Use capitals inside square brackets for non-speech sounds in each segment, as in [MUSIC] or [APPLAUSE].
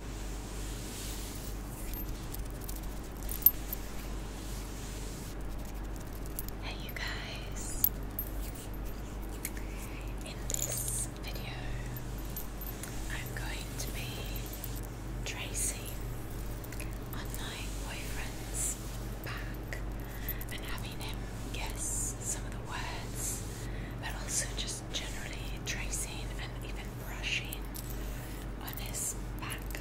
Hey, you guys! In this video, I'm going to be tracing on my boyfriend's back and having him guess some of the words, but also generally tracing and even brushing on his back.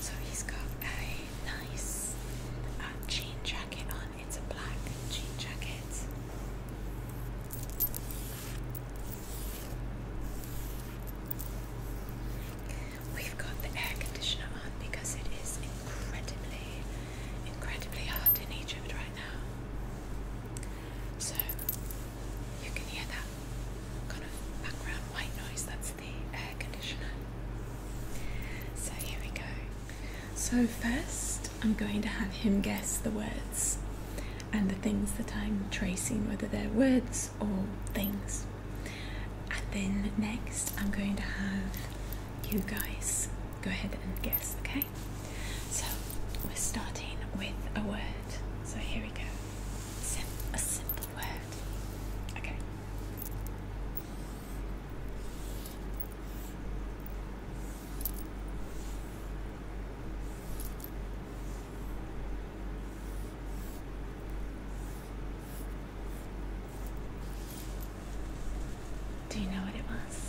So he's got a nice um, jean jacket on. It's a black jean jacket. We've got the air conditioner on because it is incredibly, incredibly hot in Egypt right now. So you can hear that kind of background white noise, that's the air conditioner. So here we go. So, first, I'm going to have him guess the words and the things that I'm tracing, whether they're words or things. And then next, I'm going to have you guys go ahead and guess, okay? so we're starting with a word. So here we go. a simple word. Okay. Do you know what it was?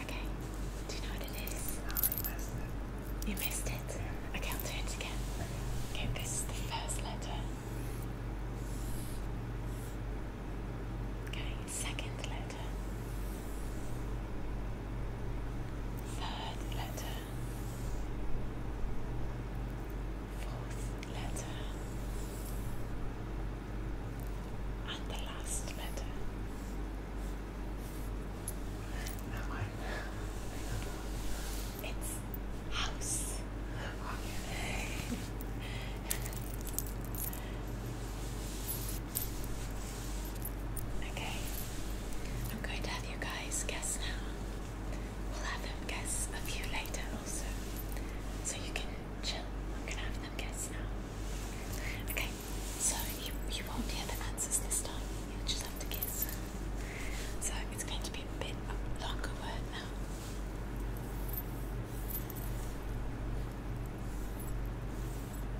Okay, do you know what it is? missed it. You missed it? Okay, I'll do it again. Okay, this is the first letter. Okay, second letter. Third letter fourth letter, and the last letter. Am I? It's house. Okay. I'm going to have you guys guess now. We'll have them guess a few later also. So you can chill. I'm gonna have them guess now. Okay, so you you won't hear the answers this time. You'll just have to guess. So it's going to be a bit longer word now.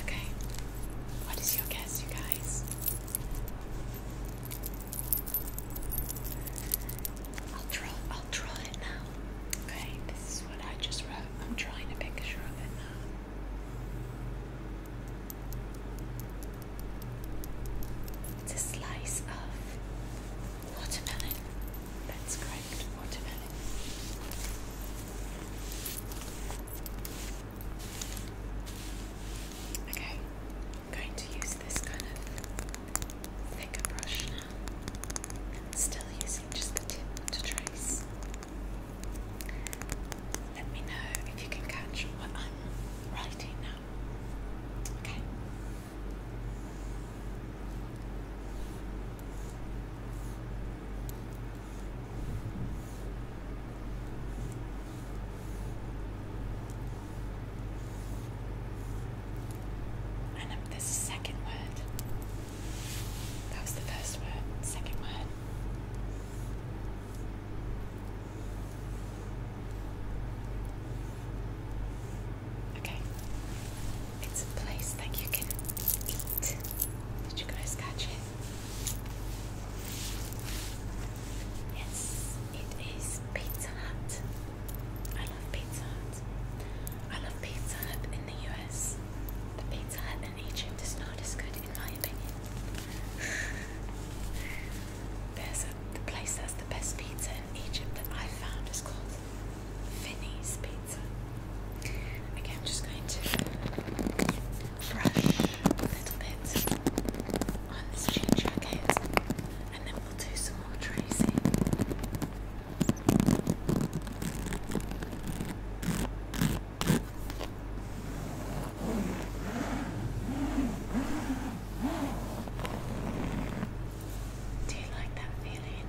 Okay. What is your guess, you guys? I'll draw I'll draw it now. Okay, this is what I just wrote. I'm drawing a picture of it now. It's a slice of watermelon. That's correct, watermelon. Okay, I'm going to use this kind of thicker brush now. Still using just the tip to trace. Let me know if you can catch what I'm writing now. Okay. And the second word. That was the first word. Second word. Okay. It's a place that you can eat. Did you guys catch it? Yes, it is Pizza Hut. I love Pizza Hut. I love Pizza in the US, but Pizza Hut in Egypt is not as good, in my opinion. [SIGHS] There's a, the place that's the best pizza in Egypt that I've found is called Finney's Pizza. Again, I'm just going to brush a little bit on this jean jacket and then we'll do some more tracing. Do you like that feeling?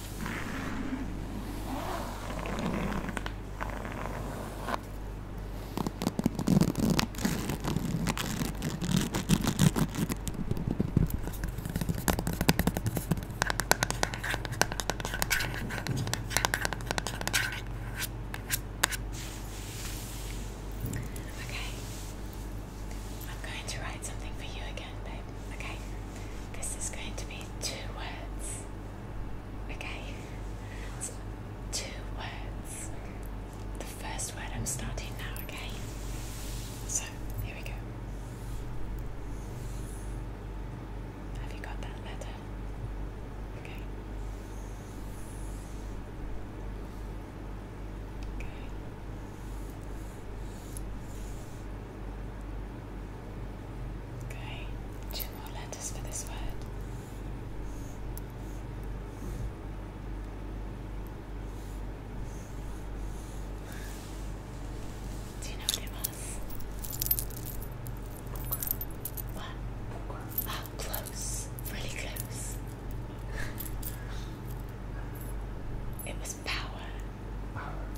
Okay. I'm going to write something for you again, babe. Okay. This is going to be two words. Okay? So two words. The first word I'm starting now, okay? So, here we go. Have you got that letter? Okay. Okay. Okay, two more letters for this word. Do you know what it was? What? Oh, close. Really close. It was power.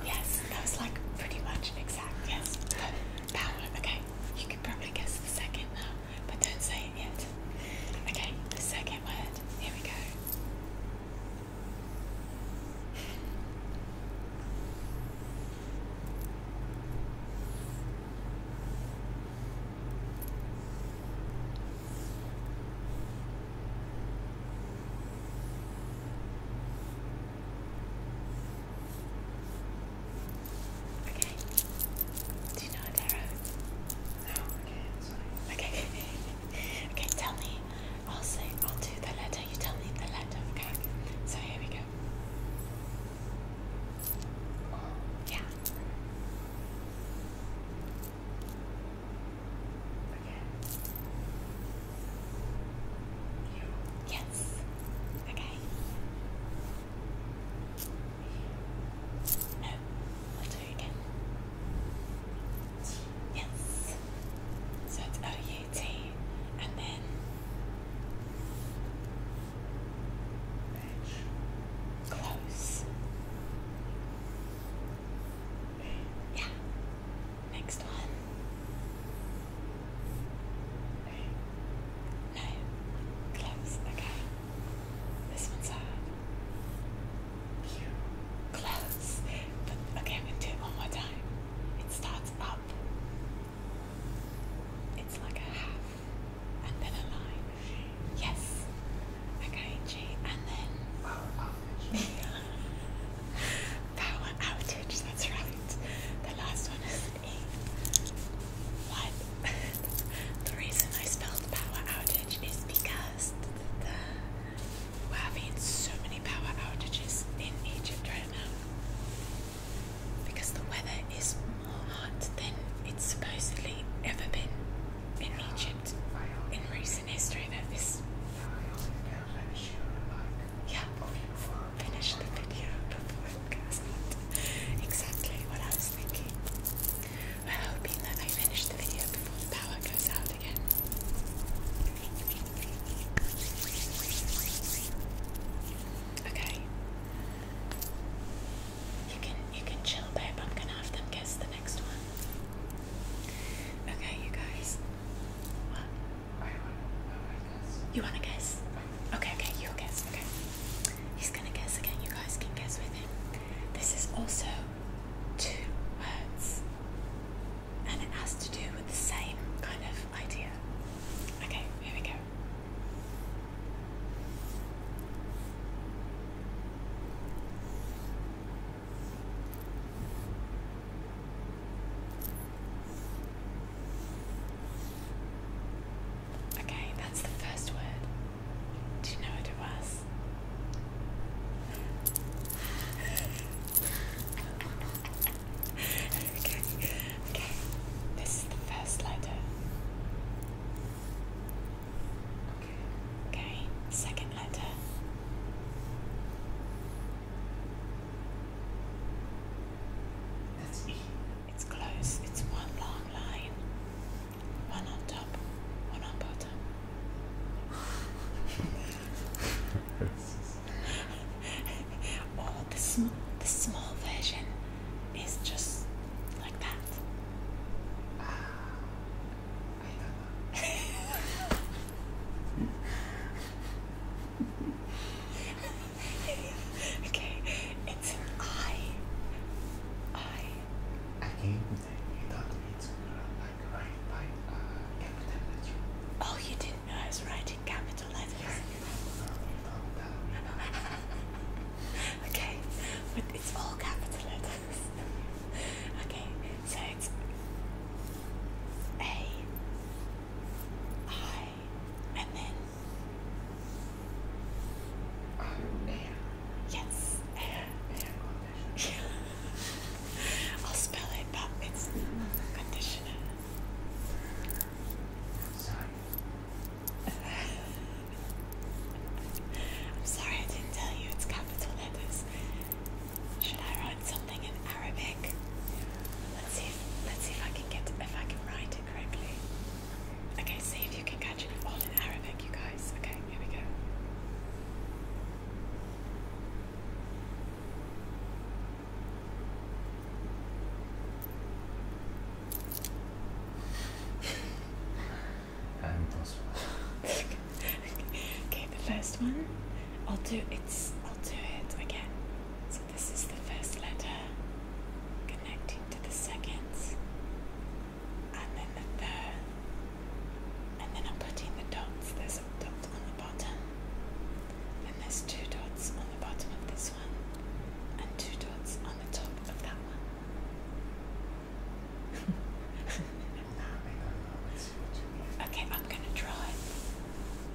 Yes, that was like pretty much exact. Yes, that Okay, you could probably guess the second now, but don't say it yet. Okay, the second word. Here we go. Okay. Do you know a tarot? No, okay, Okay. [LAUGHS] okay, tell me. I'll say I'll do the letter. You tell me the letter, okay? So here we go. Yeah. Yes. Okay. No. I'll do it again. Yes. So it's O U T and then Close. Yeah. Next one. No. Close. Okay. This one's hard. Close. But okay, i do it one more time. It starts up. It's like a half. And then a line. Yes. Okay, G. And then. [LAUGHS] Power outage, that's right. The last one is an Egypt. What? the reason I spelled power outage is because the, we're having so many power outages in Egypt right now. Because the weather is more hot than it's supposedly ever been in Egypt in recent history that this yeah before finish the video before it goes out. Exactly what I was thinking. We're hoping that I finish the video before the power goes out again. Okay. You can you can chill babe, I'm gonna have them guess the next one. Okay you guys, Oh, you wanna guess? Okay, okay, you'll guess. Okay. He's gonna guess again. You guys can guess with him. This is also two words. And it has to do with the same kind of idea. Okay, here we go. Okay, that's the first word. Do you know what it was? okay, okay. This is the first letter. Okay. second. That's E. It's close. It's one long line. One on top, one on bottom. or the, sm the small version is just like that. Ah. [LAUGHS] okay, it's an I. I. Oh, you didn't know I was writing capital letters. [LAUGHS] okay, but it's capital letters. [LAUGHS] okay, so it's A, I, and then. air. Oh, yes, air. [LAUGHS] air I'll spell it, but it's conditioner. [LAUGHS] I'm sorry I didn't tell you it's capital letters. Should I write something in Arabic? Let's see. let's see if I can get if I can write it correctly. Okay, see if you can catch it all in Arabic, you guys. Okay, here we go. [LAUGHS] [LAUGHS] [LAUGHS] okay, the first one. I'll do it's. I'll do it again. So this is the first letter connecting to the second, and then the third, and then I'm putting the dots. There's a dot on the bottom, then there's two dots on the bottom of this one, and two dots on the top of that one okay, I'm gonna draw it.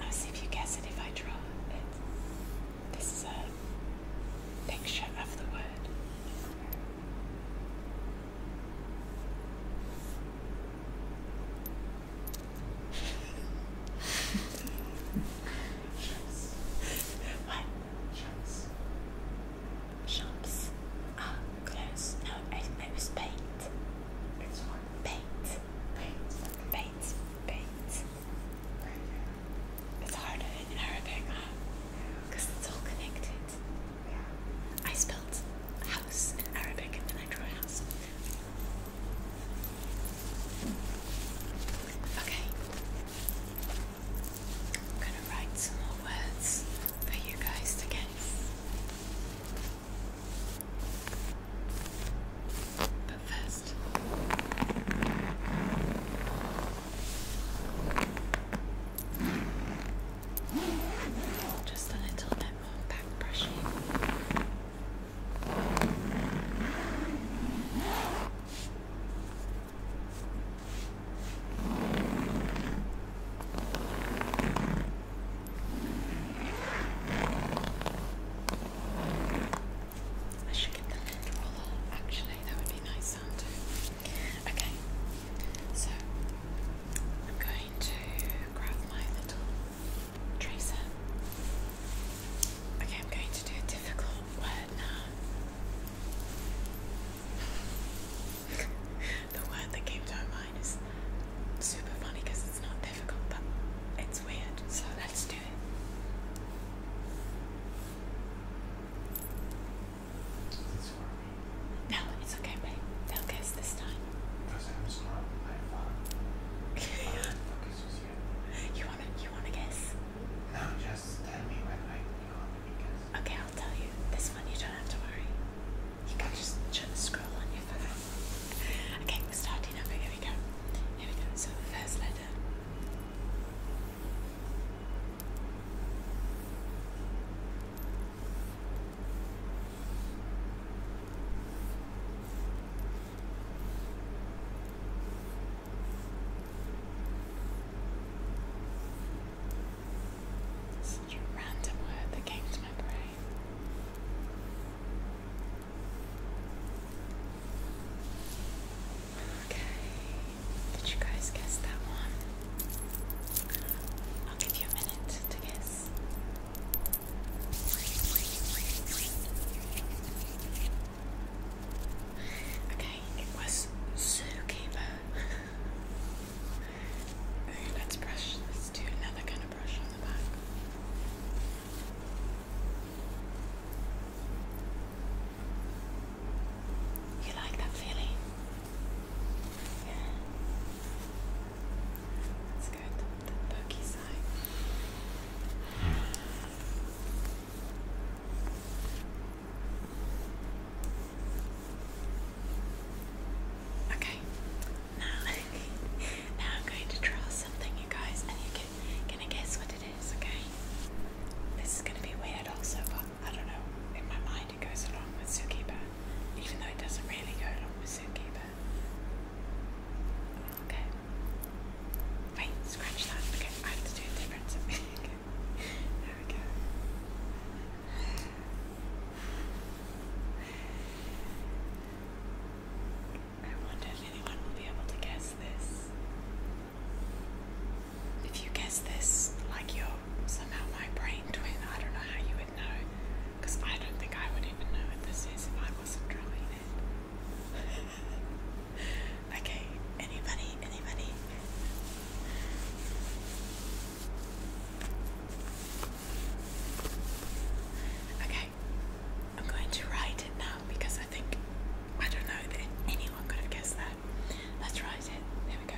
I'll see if you guess it if I draw it. This is a picture of the word. [LAUGHS] what? shops are ah, closed. No, I, was paint. It's what? in Arabic, huh? Because it's all connected. Yeah. I spelled house in Arabic and then I drew a house. Okay. I'm gonna write some more words for you guys to guess. But first, just a little bit more back brushing. I should get the lid roller. Actually, that would be nice sound Okay, so I'm going to grab my little tracer. Okay, I'm going to do a difficult word now. [LAUGHS] the word that came to our mind is super funny because it's not difficult, but it's weird. So let's do it. no, it's okay, babe. They'll guess this time. [LAUGHS] you wanna, you wanna guess? No, just tell me when I want to guess. Okay, I'll tell you. This one you don't have to worry. You can't just scroll on your phone. Okay, we're starting over. Here we go. Here we go. So the first letter. Such a random word that came to my brain. Okay, did you guys guess that one? I'll give you a minute to guess. Okay, it was zookeeper. [LAUGHS] let's brush this too. Another kind of brush on the back. You like that feeling? Yeah. That's good. The perky side. Hmm. Okay, now, [LAUGHS] now I'm going to draw something, you guys, and you can gonna guess what it is. Okay, this is gonna be weird, also, I don't know. In my mind, it goes along with Zookeeper, even though it doesn't really go along with Zookeeper. Okay. Wait, scratch that. Okay, I have to do a different something. [LAUGHS] There we go. I wonder if anyone will be able to guess this. If you guess this, like you somehow my brain twin, I don't know how you would know. Because I don't think I would even know what this is if I wasn't drawing it. [LAUGHS] okay, anybody, anybody? Okay, I'm going to write it now because I think, I don't know that anyone could have guessed that. Let's write it. There we go.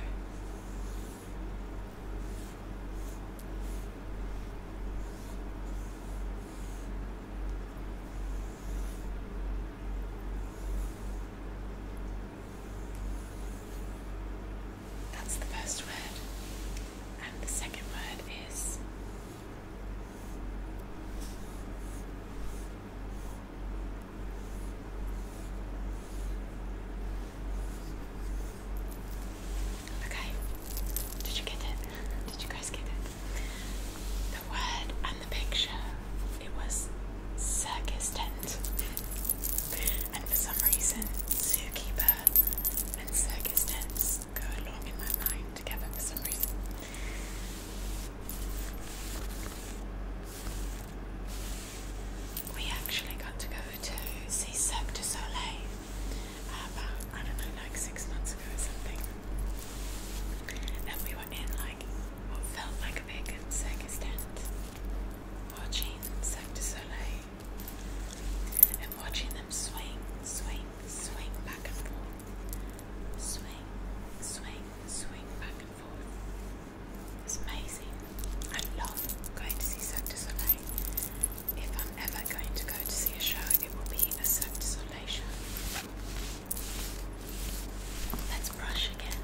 That's the first word. And the second word is. Okay. Did you get it? Did you guys get it? The word and the picture. It was circus tent and for some reason, zookeeper and circus tents go along in my mind together for some reason. We actually got to go to see Soleil about, I don't know, like six months ago or something. And we were in like what felt like a big circus tent watching Cirque du Soleil and watching them swing, swing, swing back and forth, swing, swing, swing back and forth. It's amazing. I love going to see Cirque du Soleil. If I'm ever going to go to see a show, it will be a Cirque du Soleil show. Let's brush again.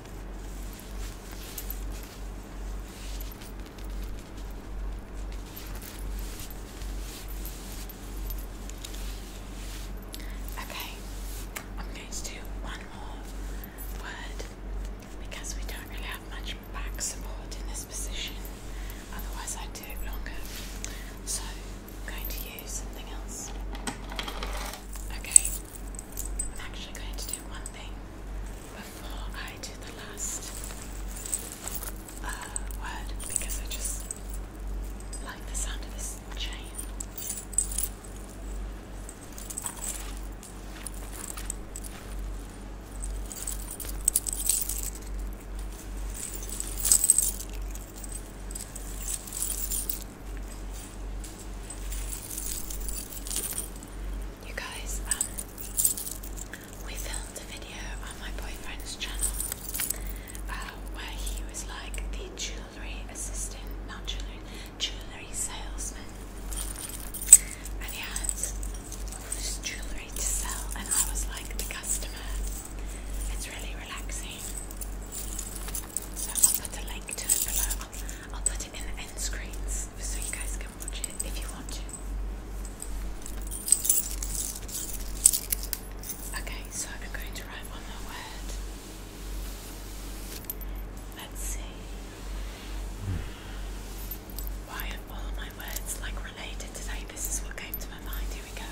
Okay, I'm going to do one more word because we don't really have much back support in this position, otherwise, I'd do it longer. So, I'm going to use something else. Okay, I'm actually going to do one thing before I do the last uh, word because I just like the sound of this chain. You guys, um, we filmed a video on my boyfriend's channel uh, where he was like the jewellery assistant, not jewellery, jewellery salesman. And he had all this jewellery to sell, and I was like the customer. It's really relaxing. So I'll put a link to it below. I'll, put it in the end screens so you guys can watch it if you want to. Okay, so I'm going to write one more word. Let's see. Why are all my words like related today? This is what came to my mind. Here we go.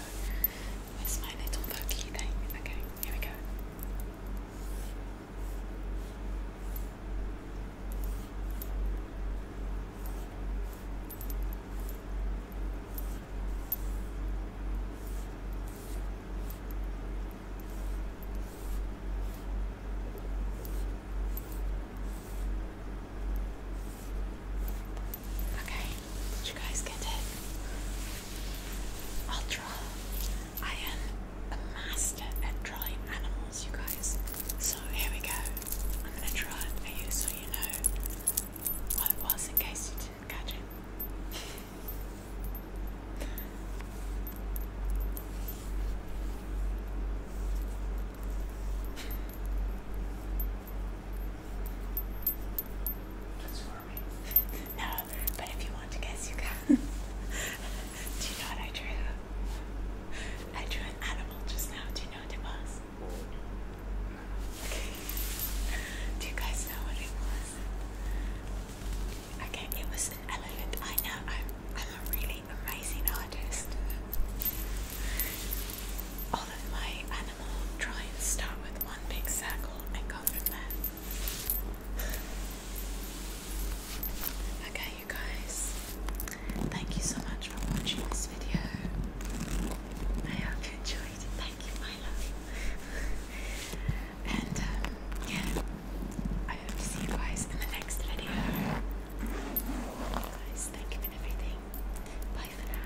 Where's my little pokey thing? Okay, here we go. Okay, did you guys get it? I'll draw I am a master at drawing animals, you guys. So here we go. I'm gonna draw it for you so you know what it was in case you didn't catch it. That's right. No, but if you want to guess, you can. [LAUGHS] do you know what I drew? I drew an animal just now. Do you know what it was? Okay. Do you guys know what it was? Okay, it was an elephant. I know. I'm, I'm a really amazing artist. All of my animal drawings start with one big circle and go from there. Okay, you guys, thank you so much for watching this video. I hope you enjoyed Thank you, my love. and um, yeah, I hope see you guys in the next video. Guys, thank you for everything. Bye for now.